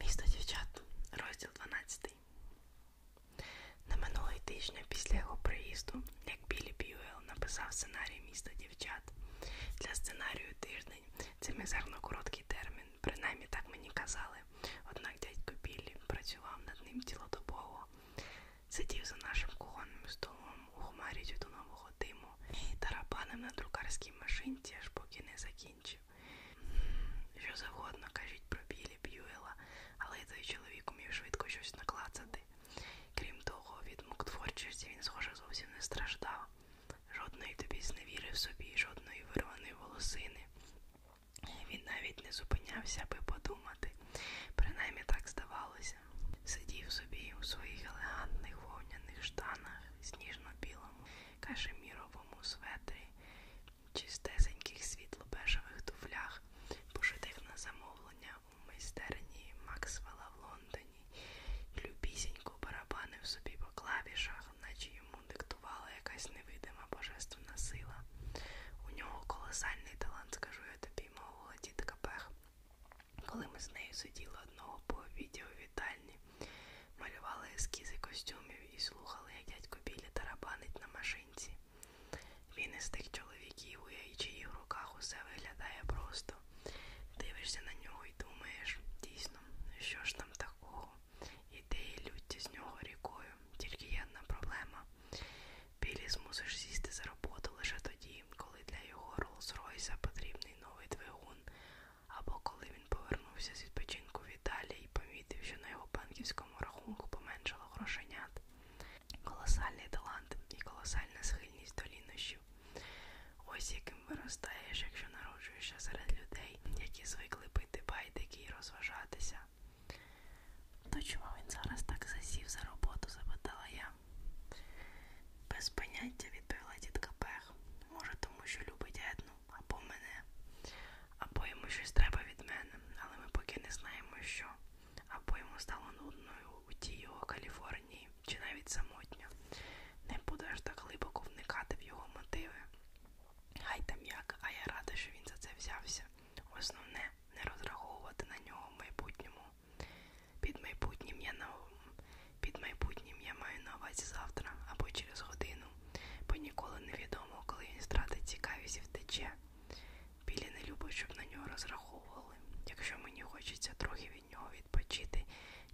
Місто дівчат, розділ 12. На минулий тижня після його приїзду, як Білі Б'юел написав сценарій міста дівчат. Для сценарію тиждень це мізерно короткий термін, принаймні так мені казали. Однак дядько Біллі працював над ним цілодобово, сидів за нашим кухонним столом у хмарі тютюнового диму і тарабанив на друкарській машинці, аж поки не закінчив гроші. Що завгодно кажіть про Білі Б'юела, але й той чоловік умів швидко щось наклацати. Крім того, від мук творчості він, схоже, зовсім не страждав. Жодної тобі зневіри в собі, жодної вирваної волосини. Він навіть не зупинявся, аби подумати. Принаймні так здавалося. Сидів собі у своїх елегантних вовняних штанах, сніжно-білому кашеміровому светрі, чистесеньких світло-бежевих туфлях, пошитих на замовлення у майстерні Максвелла в Лондоні, любісінько барабанив собі по клавішах, наче йому диктувала якась невидима божественна сила. У нього колосальний талант, скажу я тобі, мовила тітка Пех. Коли ми з нею сиділи одного по відео вітальні, Малювали ескізи костюмів і слухали, як дядько Білі тарабанить на машинці. Він із тих чоловіків, у яйчиїх руках усе виглядає просто. Дивишся на нього і думаєш, дійсно, ну що ж там такого? Ідеї люті з нього рікою, тільки є одна проблема. Білі змусиш сісти за роботу лише тоді, коли для його Роллс-Ройса потрібний новий двигун, або коли він повернувся з відпочинку в Італії і помітив, що на його банківському рахунку поменшало грошенят. Колосальний талант і колосальна схильність до лінощів. Ось яким виростаєш, якщо народжуєшся серед людей, які звикли пити байдики і розважатися. То чому він зараз так засів за роботу? запитала я. Без поняття відповіла дітка Пех. Може, тому що любить етно або мене, або йому щось треба від мене, але ми поки не знаємо, що. Або йому стало нудною у тій його Каліфорнії, чи навіть самотньо. Не буду аж так глибоко вникати в його мотиви. Хай там як, а я рада, що він за це взявся. Основне не розраховувати на нього в майбутньому. Під майбутнім я на під майбутнім я маю на увазі завтра або через годину бо ніколи не відомо, коли він стратить цікавість і втече. Білі не любить, щоб на нього розраховували. Якщо мені хочеться трохи від нього відпочити,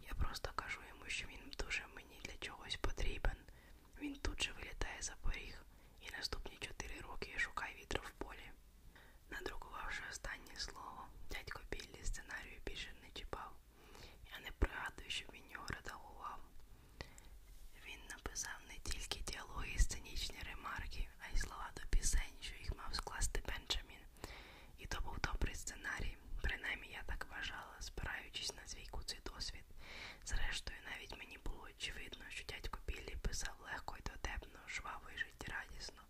я просто кажу йому, що він дуже мені для чогось потрібен. Він тут же вилітає за поріг і наступні чотири роки я шукаю вітру в полі. Надрукувавши останнє слово, дядько Біллі сценарію більше не чіпав. Я не пригадую, щоб він його редагував. Він написав не тільки діалоги і сценічні ремарки, а й слова до пісень, що їх мав скласти Бенджамін. І то був добрий сценарій, принаймні я так вважала, спираючись на свій куций досвід. Зрештою, навіть мені було очевидно, що дядько Біллі писав легко і дотепно, жваво і життєрадісно.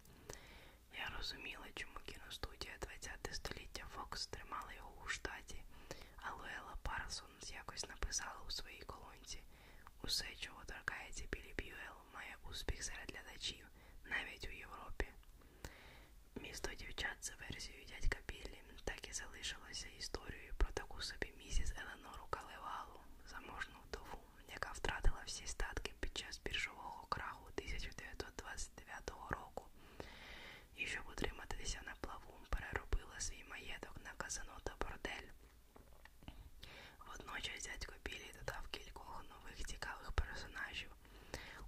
Я розуміла, чому кіностудія ХХ століття Фокс тримала його у штаті статі, а Луела Парсонс якось написала у своїй колонці Усе, чого торкається Білі Б'юел, має успіх серед глядачів, навіть у Європі. Місто дівчат за версією дядька Біллі так і залишилося історією про таку собі місіс Еленору Калевалу, заможну вдову, яка втратила всі статки під час біржового краху 1929 року і щоб утриматися на плаву, переробила свій маєток на казано та бордель. Водночас дядько Білі додав кількох нових цікавих персонажів.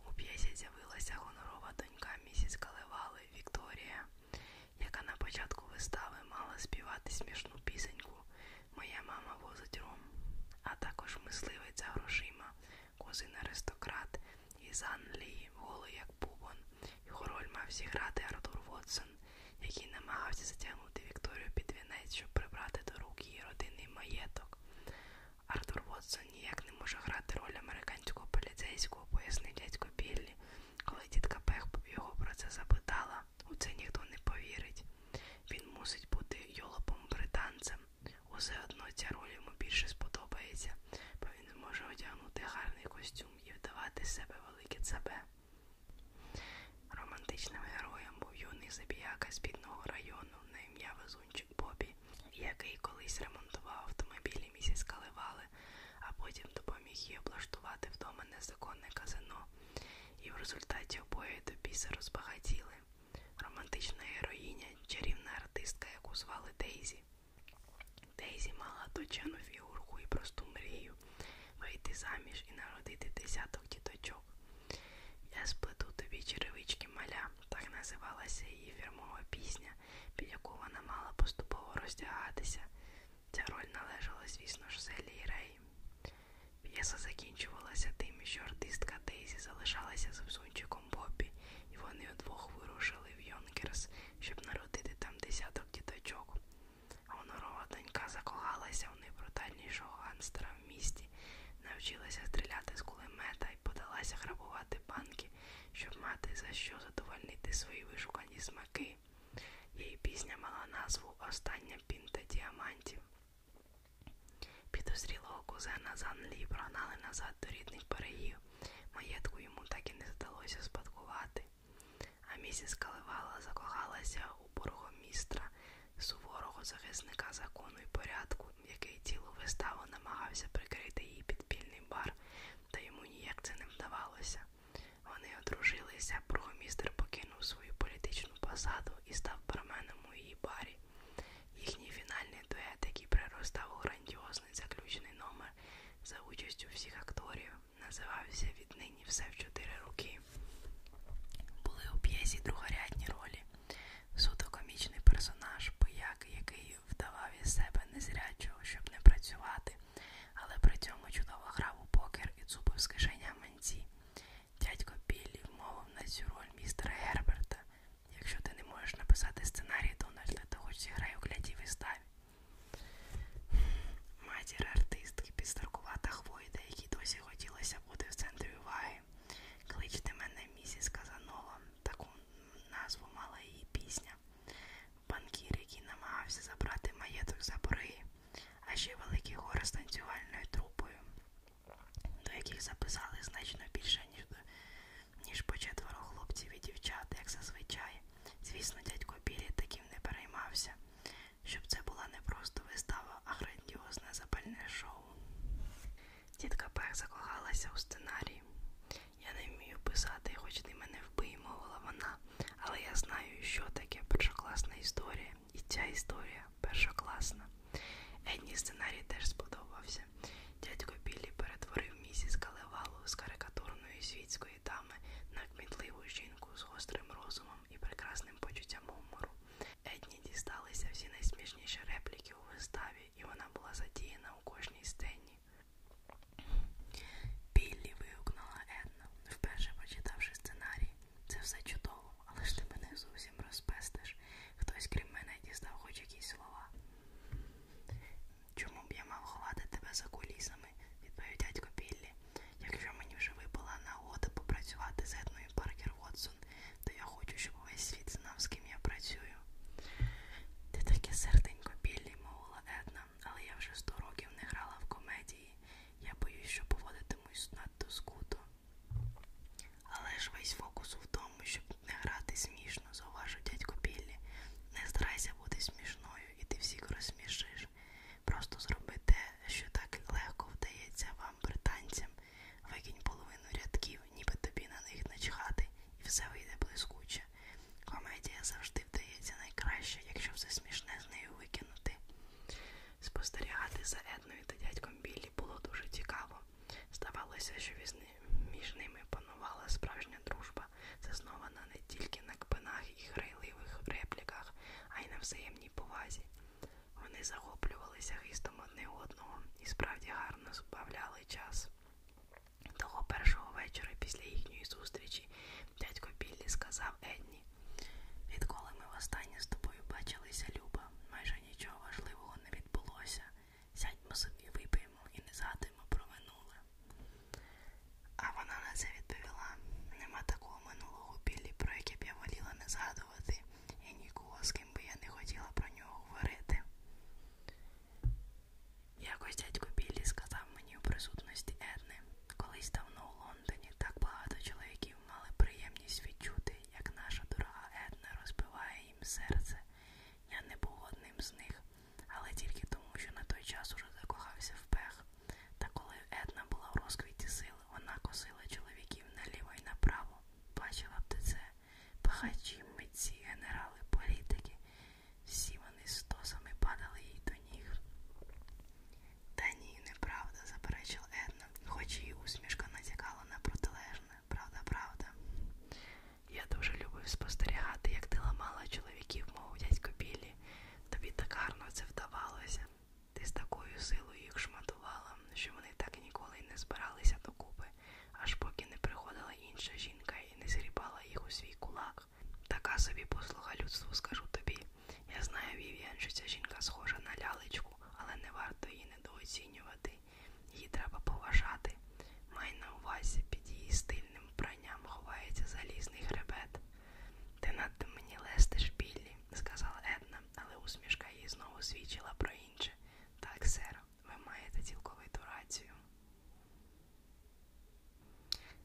У п'єсі з'явилася гонорова донька місіс Калевали Вікторія, яка на початку вистави мала співати смішну пісеньку Моя мама возить ром, а також мисливиця грошима кузин аристократ із Англії, голий як бубон. Його роль мав зіграти Артур Вотсон, який намагався затягнути Вікторію під вінець, щоб прибрати до рук її родинний маєток. Артур Вотсон ніяк не може грати роль американського поліцейського, пояснив дядько Біллі. Коли тітка Пех його про це запитала, у це ніхто не повірить. Він мусить бути йолопом британцем. Усе одно ця роль йому більше сподобається він може одягнути гарний костюм і вдавати з себе велике цебе. Романтичним героєм був юний забіяка з бідного району на ім'я Везунчик Бобі, який колись ремонтував автомобілі місяць Каливали, а потім допоміг їй облаштувати вдома незаконне казино, і в результаті обоє до біса розбагатіли. Романтична героїня, чарівна артистка, яку звали Дейзі. Дейзі мала точену фігурку і просту мрію вийти заміж і народити десяток діточок. Я сплету тобі черевички маля, так називалася її фірмова пісня, під яку вона мала поступово роздягатися. Ця роль належала, звісно ж, Селі Рей. П'єса закінчувалася тим, що артистка Дейзі залишалася з взунчиком Боббі, і вони удвох вирушили в Йонкерс щоб народити там десяток діточок. Гонорова донька закохалася в найбрутальнішого ганстера в місті, навчилася стріляти з кулемета і подалася грабувати банки, щоб мати за що задовольнити свої вишукані смаки. Її пісня мала назву Остання пінта діамантів. Підозрілого кузена Занлі прогнали назад до рідних берегів. Маєтку йому так і не здалося спадкувати. А місіс Каливала закохалася у бургомістра, суворого захисника закону і порядку, який цілу виставу намагався прикрити її підпільний бар, та йому ніяк це не вдавалося. Вони одружилися, бургомістр покинув свою політичну посаду і став барменом у її барі. Їхній фінальний дует, який приростав у грандіозний заключний номер, за участю всіх акторів, називався віднині все в чотири роки. Були у п'єсі другорядні ролі. Суто комічний персонаж, пияк, який вдавав із себе незрячого, щоб не працювати, але при цьому чудово грав у покер і цупив з кишеня манці. Дядько Біллі вмовив на цю роль містера Герберта, Якщо ти не можеш написати сценарій, Дональда, то хоч зіграй у глядів і ставі. Матір артистки підстаркувата хвойда, якій досі хотілося бути в центрі уваги. Кличте мене місіс Казанова, таку назву мала її пісня. Банкір, який намагався забрати маєток за борги, а ще великий гори з танцювальною трупою, до яких записали значно більше, ніж ніж по четверо хлопців і дівчат, як зазвичай. Звісно, дядько Білі таким не переймався, щоб це була не просто вистава, а грандіозне запальне шоу. Тітка Пех закохалася у сценарій. Я не вмію писати, хоч ти мене вбий, мовила вона, але я знаю, що таке першокласна історія, і ця історія першокласна. Едні сценарій теж сподобався вулиці. Дядько Біллі перетворив місіс Калевалу з карикатурної світської дами на кмітливу жінку з гострим розумом і прекрасним почуттям гумору. Едні дісталися всі найсмішніші репліки у виставі, і вона була задіяна у кожній сцені. Біллі вигукнула Една, вперше почитавши сценарій. Це все чудово, але ж ти мене зовсім розпестиш. Хтось крім мене дістав хоч якісь слова. Чому б я мав ховати тебе за кулісами? відповів дядько Біллі. Якщо мені вже випала нагода попрацювати з Етною Паркер Вотсон, то я хочу, щоб весь світ знав, з ким я працюю. Ти таке серденько Біллі, мовила Етна, але я вже сто років не грала в комедії. Я боюсь, що поводитимусь надто скуто. Але ж весь фокус у тому, щоб не грати смішно смішно, зауважив дядько Біллі. Не старайся бути смішною, і ти всіх розсмішиш. Просто зроби те, що так легко вдається вам, британцям, викинь половину рядків, ніби тобі на них начхати, і все вийде блискуче. Комедія завжди вдається найкраще, якщо все смішне з нею викинути. Спостерігати за Едною та дядьком Біллі було дуже цікаво. Здавалося, що між ними панувала справжня дружба, заснована не тільки на кпинах і грайливих репліках, а й на взаємній повазі. Вони захоплювалися гистом одне одного і справді гарно збавляли час. Того першого вечора після їхньої зустрічі дядько Біллі сказав Едні, відколи ми востаннє з тобою бачилися, Люба, майже нічого важливого не відбулося сядьмо собі, вип'ємо і не згадуємо про минуле. А вона на це відповіла: нема такого минулого білі, про яке б я воліла не згадувати, і нікого, з ким би я не хотіла про нього говорити. Якось дядько Біллі сказав мені у присутності Едни, колись давно у Лондоні так багато чоловіків мали приємність відчути, як наша дорога Една розбиває їм серце. Я не був одним з них, але тільки тому, що на той час уже закохався в пех. Та коли Една була в розквіті сил, вона косила чоловіків наліво і направо, бачила б ти це. Пахачі, митці, генерали, політики. Всі вони стосами падали їй до ніг. Та ні, неправда, заперечила Една, хоч її усмішка натякала на протилежне. Правда, правда. Я дуже любив спостерігати, як ти ламала чоловіків, мов дядько Біллі. Тобі так гарно це вдавалося. Ти з такою силою їх шматувала, що вони так ніколи й не збиралися докупи, аж поки не приходила інша жінка і не згрібала їх у свій кулак. Така собі послуга людству, скажу тобі. Я знаю, Вів'ян, що ця жінка схожа на лялечку, але не варто її недооцінювати. Її треба поважати. Май на увазі під її стиль вільним пранням ховається залізний хребет. Ти над мені лестиш, Біллі, сказала Една, але усмішка її знову свідчила про інше. Так, сер, ви маєте цілковиту рацію.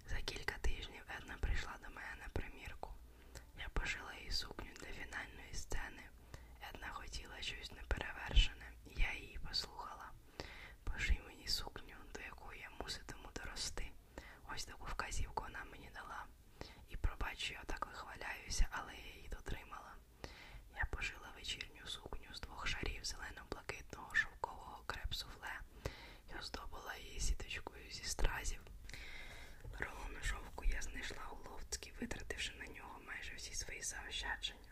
За кілька тижнів Една прийшла до мене на примірку. Я пошила їй сукню для фінальної сцени. Една хотіла щось неперевершене, я її послухала. Поший мені сукню, до якої я муситиму дорости. Ось таку вказівку вона мені дала. І пробачу, я так вихваляюся, але я її дотримала. Я пошила вечірню сукню з двох шарів зелено-блакитного шовкового креп-суфле і оздобила її сіточкою зі стразів. Рулон шовку я знайшла у ловцькі, витративши на нього майже всі свої заощадження.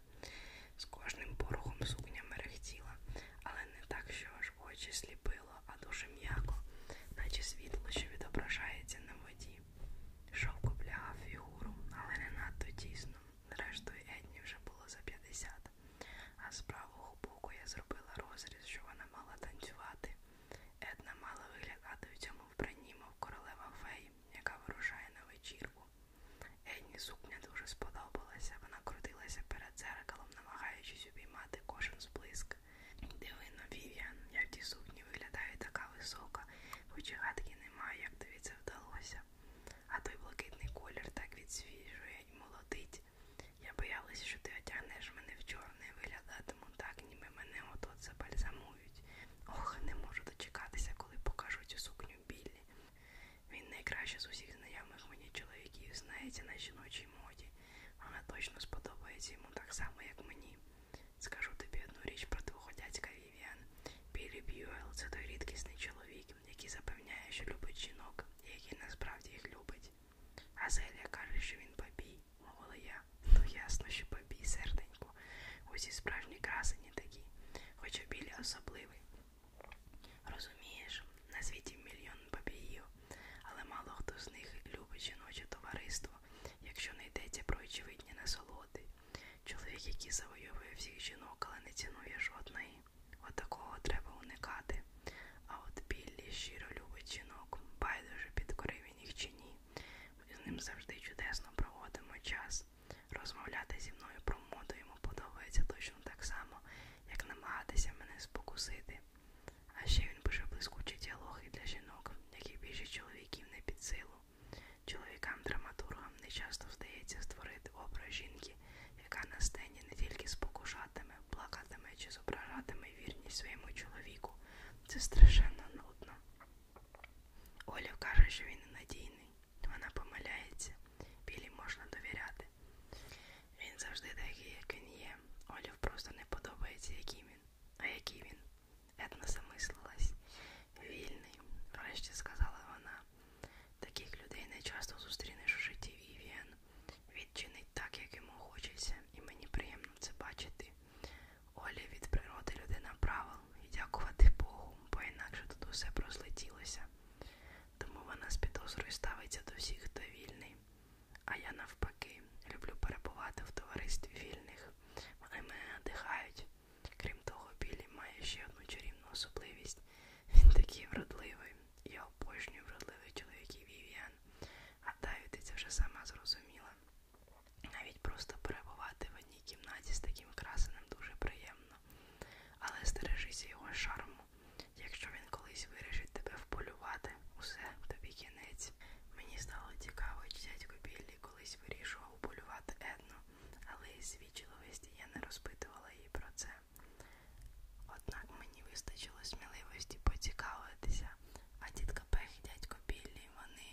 З кожним порухом сукня мерехтіла, але не так, що аж очі сліпило, а дуже м'яко, наче світло, що відображається на воді. Шовк облягав фігуру, але не надто тісно. Зрештою, Едні вже було за 50. А з правого боку я зробила розріз, що вона мала танцювати. Една мала виглядати у цьому вбранні, мов королева фей, яка вирушає на вечірку. Едні сукня дуже сподобалася. Вона крутилася перед зеркалом, намагаючись обіймати кожен сплиск. Дивино, Вів'ян, я в тій сукні виглядаю така висока, хоч і гадки немає, як тобі це вдалося. А той блакитний колір так відсвіжує і молодить. Я боялася, що ти одягнеш мене в чорне і виглядатиму так, ніби мене отот забальзамують. Ох, не можу дочекатися, коли покажу цю сукню білі. Він найкраще з усіх знайомих мені чоловіків знається на жіночій моді. Вона точно сподобається йому так само, як мені. Скажу тобі одну річ про двоходяцька Вівіан. Білі Б'юел це той рідкісний чоловік, який запевняє, що любить жінок, і який насправді їх любить. А Зелія каже, що він бабій, мовила я. Ну ясно, що бабій, серденько. Усі справжні красені такі, хоча білі особливий. Розумієш, на світі мільйон бабіїв, але мало хто з них любить жіноче товариство, якщо не йдеться про очевидні насолоди. Чоловік, який завойовує всіх жінок, але не цінує жодної. От такого треба уникати. А от Біллі щиро любить жінок, байдуже підкорив він їх чи ні. Ми з ним завжди чудесно проводимо час. Розмовляти зі мною про моду йому йому подобається точно так само, як намагатися мене спокусити. А ще він пише блискучі діалоги для жінок, які більше чоловіків не під силу. Чоловікам-драматургам не часто вдається створити образ жінки, яка на сцені не тільки спокушатиме, плакатиме чи зображатиме вірність своєму чоловіку. Це страшенно нудно. Оля каже, що він ненадійний. Вона помиляється. Білі можна довіряти. Він завжди такий, як він є. Олів просто не подобається, який він. А який він? Етна замислилась. Вільний, врешті сказала вона. Таких людей не часто зустрінеш у житті Вівіан. Відчинить так, як йому хочеться, і мені приємно це бачити. Оля від природи людина правил і дякувати Богу, бо інакше тут усе прослетілося. Тому вона з підозрою ставиться до всіх, хто вільний. А я навпаки, люблю перебувати в товаристві вільних. Вони мене надихають. Крім того, Білі має ще одну чарівну особливість. Він такий вродливий. Я обожнюю вродливих чоловіків Вів'ян. Гадаю, ти це вже сама зрозуміла. Навіть просто перебувати в одній кімнаті з таким красеним дуже приємно приємно. Але стережися його шарму. Якщо він колись вирішить тебе вполювати, усе тобі кінець. Мені стало цікаво, чи дядько Біллі колись вирішував полювати Едну, але із вічливості я не розпитувала її про це. Однак мені вистачило сміливості поцікавитися, а дідка Пех і дядько Біллі, вони.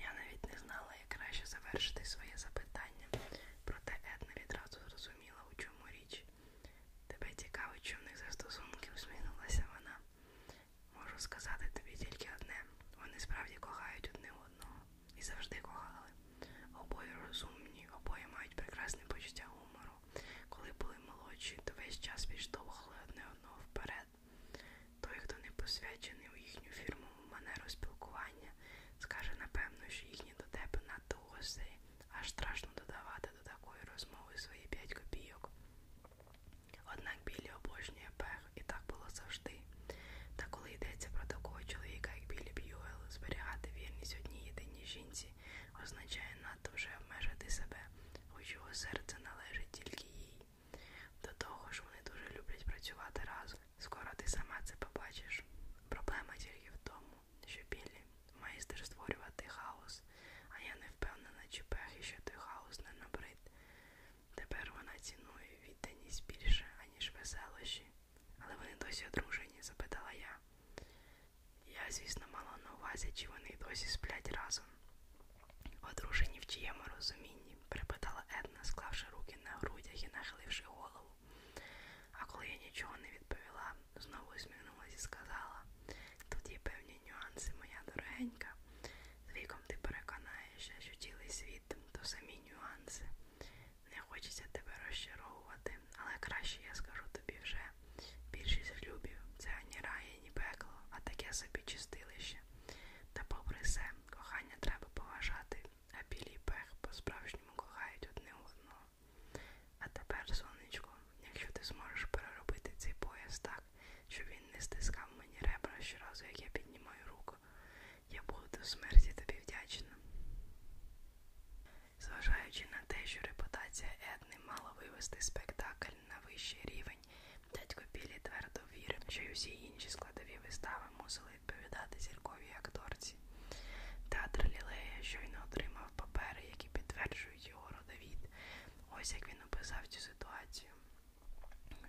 Я навіть не знала, як краще завершити своє запитання, проте Една відразу зрозуміла зрозуміла, у чому річ. Тебе цікавить, що в них за стосунків змінилася вона. Можу сказати тобі тільки одне. Вони справді кохають одне одного і завжди кохали. Обоє розумні, обоє мають прекрасне почуття гумору. Коли були молодші, то весь час підштовхували одне одного вперед. Той, хто не посвячений у їхню фірмову манеру спілкування, скаже напевно, що їхні дотепи надто гостей аж страшно додавати до такої розмови свої п'ять копійок. Однак Біллі обожнює пех, і так було завжди. Та коли йдеться про такого чоловіка, як Біллі Б'юел, зберігати вірність одній єдиній жінці означає надто вже обмежити себе, хоч його серце належить тільки їй. До того ж, вони дуже люблять працювати разом. Скоро ти сама це побачиш. Проблема тільки в тому, що білі має створювати хаос, а я не впевнена, чи пехи, що той хаос не набрид. Тепер вона цінує відданість більше, аніж веселощі. Але вони досі одружені, запитала я. Я, звісно, мала на увазі, чи вони досі сплять разом. Одружені в чиєму розумінні, припитала Една, склавши руки на грудях і нахиливши голову. А коли я нічого не відповіла, знову усміхнулася і сказала, тут є певні нюанси, моя дорогенька. З віком ти переконаєшся, що цілий світ то самі нюанси. Не хочеться тебе розчаровувати, але краще я скажу тобі вже. Більшість любів це ані рай, ані пекло, а таке собі чистилище. Та попри все, кохання треба поважати, а білі пех по-справжньому кохають одне одного. А тепер, сонечко, якщо ти зможеш переробити цей пояс так, щоб він не стискав мені ребра щоразу, як я піднімаю руку, я буду до смерті тобі вдячна. Зважаючи на те, що репутація Едни мала вивести спектакль на вищий рівень, дядько Білі твердо вірив, що й усі інші складові вистави мусили відповідати зірковій акторці. Театр Лілея щойно отримав папери, які підтверджують його родовід. Ось як він описав цю ситуацію.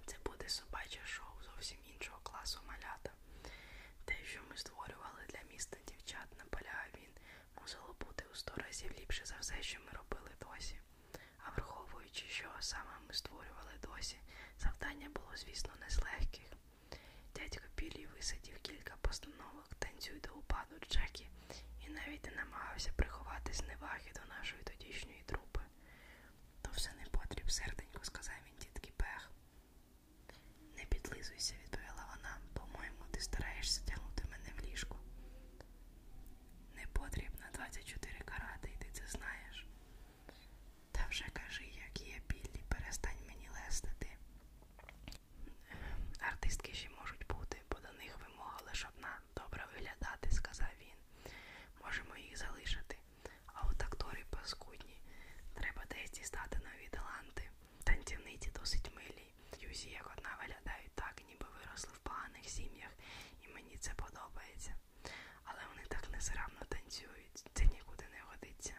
Це буде собаче шоу зовсім іншого класу малята. Те, що ми створювали для міста дівчат, наполягав він, мусило бути у сто разів ліпше за все, що ми робили досі. А враховуючи, що саме ми створювали досі, завдання було, звісно, не з легких. Дядько Білій висадів кілька постановок, танцюй до упаду Джекі, і навіть не намагався приховати зневаги до нашої тодішньої трупи. То все не потріб, серденько, сказав він дітки Пех. Не підлизуйся, відповіла вона. По-моєму, ти стараєшся тягнути мене в ліжку. Не потрібно 24 карати, і ти це знаєш. Та вже кажи, як є біллі, перестань мені лестити. Артистки ще можуть бути, бо до них вимога лише одна добре виглядати, сказав він. Можемо їх залишити. А от актори паскудні. Треба десь дістати нові таланти. Танцівниці досить милі. Юзі, як одна виглядають так, ніби виросли в поганих сім'ях, і мені це подобається. Але вони так незравно танцюють, це нікуди не годиться.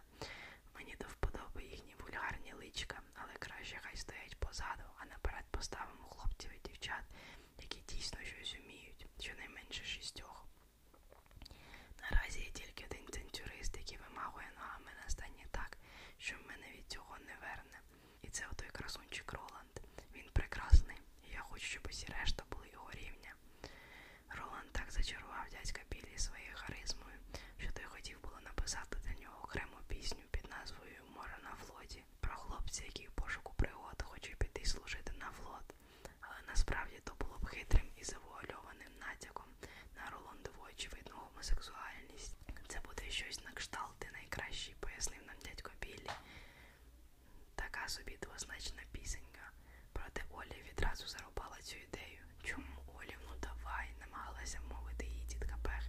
Мені до вподоби їхні вульгарні личка, але краще хай стоять позаду, а наперед поставимо хлопців і дівчат, які дійсно щось вміють, щонайменше шістьох. Наразі є тільки один центюрист, який вимагує ногами на стані так, що мене від цього не верне. І це отой красунчик Роланд. Він прекрасний, і я хочу, щоб усі решта були його рівня. Роланд так зачарував дядька Біллі своєю харизмою, що той хотів було написати для нього окрему пісню під назвою Море на флоті про хлопця, який в пошуку пригод хоче піти служити на флот. Але насправді то було б хитрим і завуальованим натяком на Роландову очевидну гомосексуальність. Це буде щось на кшталт, ти найкращий, пояснив нам дядько Біллі. Така собі двозначна пісенька. Проте Олі відразу зарубала цю ідею. Чому Олі, ну давай, намагалася мовити її дітка Пех.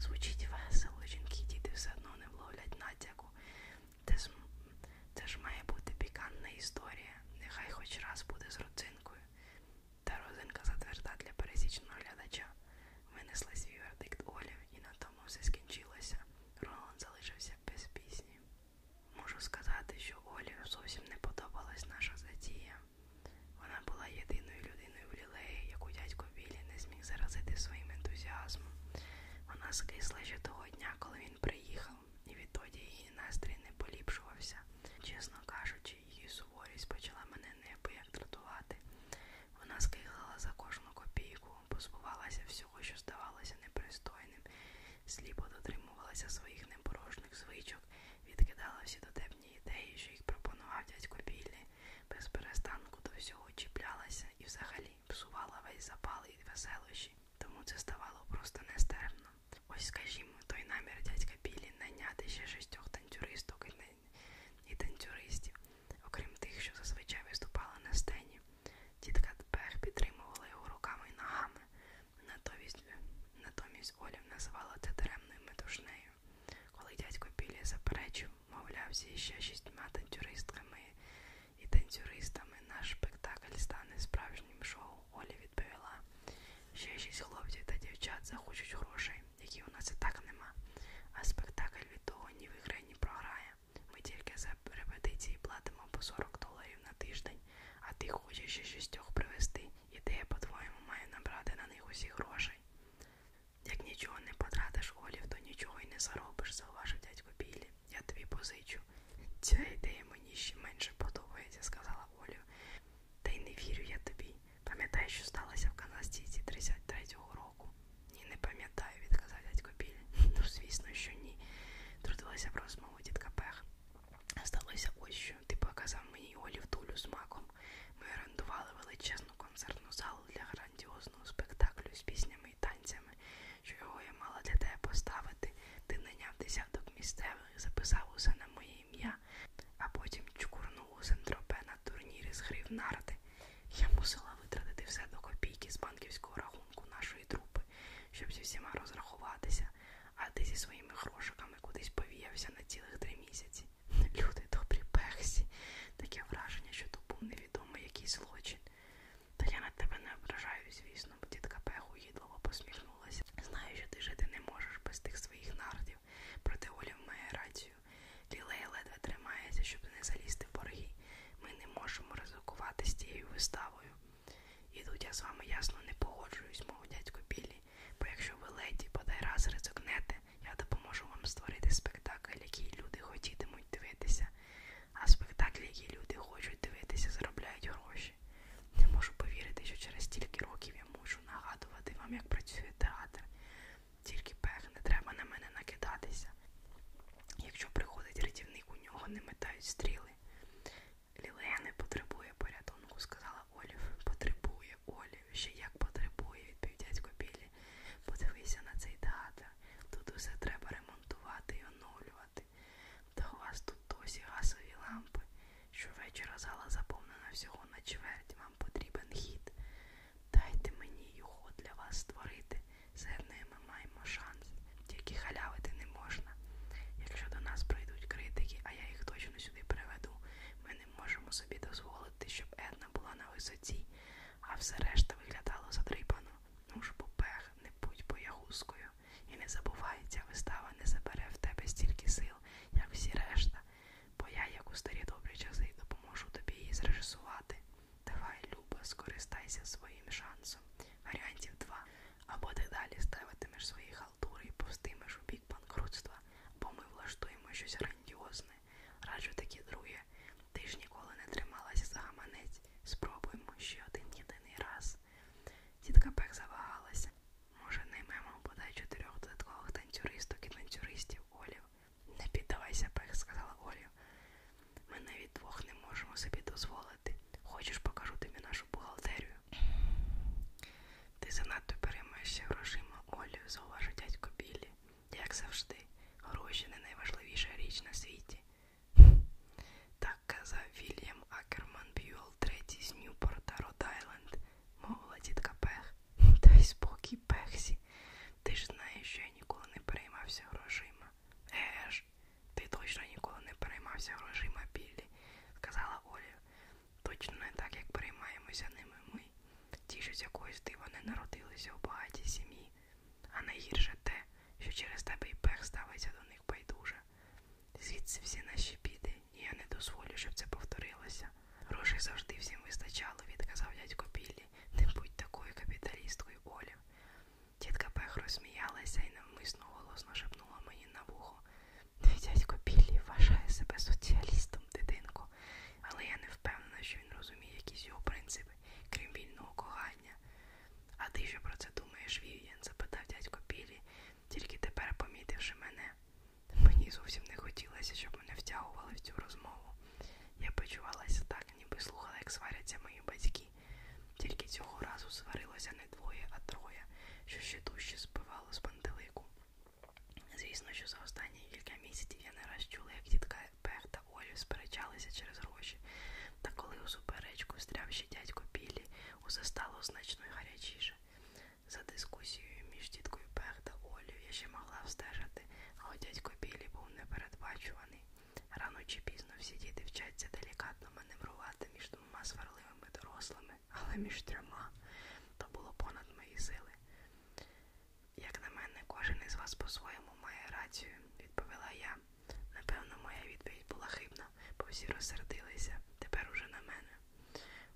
Звучить весело, жінки діти все одно не вловлять натяку. Це ж, це ж має бути пікантна історія. Нехай хоч раз буде з родзинкою. Та родзинка затверда для пересічного глядача. Винесла свій вердикт Олі, і на тому все скінчилося. Роланд залишився без пісні. Можу сказати, що Олі зовсім не подобалась наша затія. Вона була єдиною людиною в лілеї, яку дядько Білі не зміг заразити своїм ентузіазмом. Вона скисла ще того дня, коли він приїхав, і відтоді її настрій не поліпшувався. Чесно кажучи, її суворість почала мене неабияк дратувати. Вона скиглила за кожну копійку, позбувалася всього, що здавалося непристойним, сліпо дотримувалася своїх непорожних звичок відкидала всі дотепні ідеї, що їх пропонував дядько Біллі, без перестанку до всього чіплялася і взагалі псувала весь запал і веселощі, тому це ставало просто нестерпно. Ось, скажімо, той намір дядька Біллі найняти ще шістьох танцюристок і танцюристів, окрім тих, що зазвичай виступали на сцені. Тітка Пер підтримувала його руками і ногами, Натомість, натомість Олів називала це даремною метушнею. Коли дядько Білі заперечив, мовлявся ще шістьма танцюристками і танцюристами, наш спектакль стане справжнім шоу, Олі відповіла. Ще шість хлопців та дівчат захочуть грошей, які у нас і так нема. А спектакль від того ні виграє, ні програє. Ми тільки за репетиції платимо по 40 доларів на тиждень, а ти хочеш ще шістьох привезти і ти, по-твоєму, має набрати на них усі грошей. Як нічого не потратиш олів, то нічого й не заробиш, зауважив дядько Біллі. Я тобі позичу. Ця ідея мені ще менше подобається, сказала Олів. Та й не вірю я тобі. Пам'ятаєш, що сталося в Канастіці 33-го року? Ні, не пам'ятаю, відказав дядько Біллі. Ну, звісно, що ні. Трудилася в розмову дітка Пех сталося ось що. Ти показав мені Олів Тулю з маком. Ми орендували величезну концертну залу для грандіозного спектаклю з піснями і танцями, що його я мала для тебе поставити. Ти наняв десяток місцевих, записав усе на моє ім'я, а потім чкурнув у Сентропе на турнірі з грив нарди. Я мусила витратити все до копійки з банківського рахунку нашої трупи, щоб зі всіма розрахуватися, а ти зі своїми грошиками кудись повіявся на цілих три місяці. Люди добрі пехсі, таке враження, що то був невідомий якийсь злочин. Та я на тебе не ображаю, звісно, бо тітка Пеху їдлово посміхнулася. Знаю, що ти жити не можеш без тих своїх нардів, проте Оля має рацію. Лілей ледве тримається, щоб не залізти в борги. Ми не можемо ризикувати з тією виставою. І тут я з вами ясно не погоджуюсь, мов дядько Біллі бо якщо ви леді подай раз ризикнете, я допоможу вам створити спектакль, який люди хотітимуть дивитися. А спектаклі, які люди хочуть дивитися, заробляють гроші. Не можу повірити, що через стільки років я мушу нагадувати вам, як працює театр. Тільки пех, не треба на мене накидатися. Якщо приходить рятівник, у нього не метають стріли. Лілея не потребує порятунку, сказала Олів. Потребує Олів, ще як потребує, відповів дядько Білі. Подивися на цей театр. Тут усе треба ремонтувати і оновлювати. Та у вас тут досі газові лампи. Щовечора зала заповнена всього на чверть. Вам потрібен хід. Дайте мені його для вас створити. З ми маємо шанс. Тільки халявити не можна. Якщо до нас прийдуть критики, а я їх точно сюди приведу, ми не можемо собі дозволити, щоб Една була на висоті, а все решта виглядало задрипано. Ну ж, попех, не будь боягузкою. І не забувай, ця вистава не забере в тебе стільки сил, як всі решта, бо я, як у старі добрі часи, допоможу тобі її зрежисувати. Давай, Люба, скористайся своїм шансом. Варіантів два. Або ти далі ставитимеш свої халтури і повстимеш у бік банкрутства, бо ми влаштуємо щось грандіозне. Раджу такі, друге, ти ж ніколи не трималася за гаманець. Спробуємо ще один єдиний раз. Тітка Пек завагалася. Може, наймемо бодай чотирьох додаткових танцюристок і танцюристів, Олів. Не піддавайся, Пек, сказала Олів. Ми навіть двох не можемо собі дозволити. Хочеш, покажу тобі нашу бухгалтерію. Ти занадто переймаєшся грошима, Олі, зауважив дядько Біллі. Як завжди, гроші не найважливіша річ на світі. Так казав Вільям Акерман Б'юл, третій з Ньюпорта, Род-Айленд, мовила тітка Пех. Та й спокій Пехсі. Ти ж знаєш, що я ніколи не переймався грошима. Еж, ти точно ніколи не переймався грошима, Біллі, сказала Олі. Точно не так, як переймаємося ними ми, ті, що з якоїсь дива не народилися у багатій сім'ї, а найгірше те, що через тебе і пех ставиться до них байдуже. Звідси всі наші біди, і я не дозволю, щоб це повторилося. Грошей завжди всім вистачало, відказав дядько Біллі. Не будь такою капіталісткою, Олів. Тітка Пех розсміялася і навмисно голосно шепнула мені на вухо. Твій дядько Біллі вважає себе соціалістом, дитинко, але я не впевнена, що він розуміє якісь його принципи, крім вільного кохання. А ти що про це думаєш, Вів'ян? запитав дядько Біллі, тільки тепер помітивши мене. Мені зовсім не хотілося, щоб мене втягували в цю розмову. Я почувалася так, ніби слухала, як сваряться мої батьки. Тільки цього разу сварилося не двоє, а троє, що ще дужче збивало з пантелику. Звісно, що за останні кілька місяців я не раз чула, як дітка Пех та Олі сперечалися через гроші. Та коли у суперечку встряв ще дядько Білі, усе стало значно гарячіше. За дискусією між діткою Пех та Олею я ще могла встежити, а от дядько Білі був непередбачуваний. Рано чи пізно всі діти вчаться делікатно маневрувати між двома сварливими дорослими, але між трьома то було понад мої сили. Як на мене, кожен із вас по-своєму має рацію, відповіла я. Напевно, моя відповідь була хибна, бо всі розсердилися, тепер уже на мене.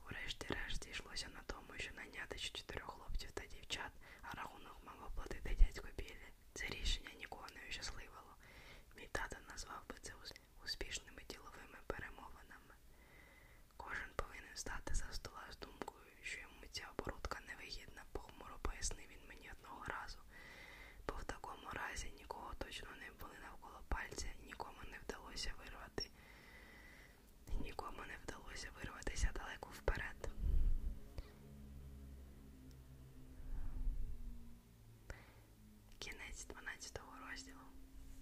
Урешті-решт йшлося на тому, що найняти ще чотирьох хлопців та дівчат, а рахунок мав оплатити дядько Біллі. Це рішення нікого не ущасливило. Мій тато назвав би це успішними діловими перемовинами. Кожен повинен стати за стола з думкою, що йому ця оборудка невигідна, похмуро пояснив він мені одного разу, бо в такому разі нікого точно не були навколо пальця, нікому не вдалося вирвати. Нікому не вдалося вирватися далеко вперед. Кінець 12 розділу.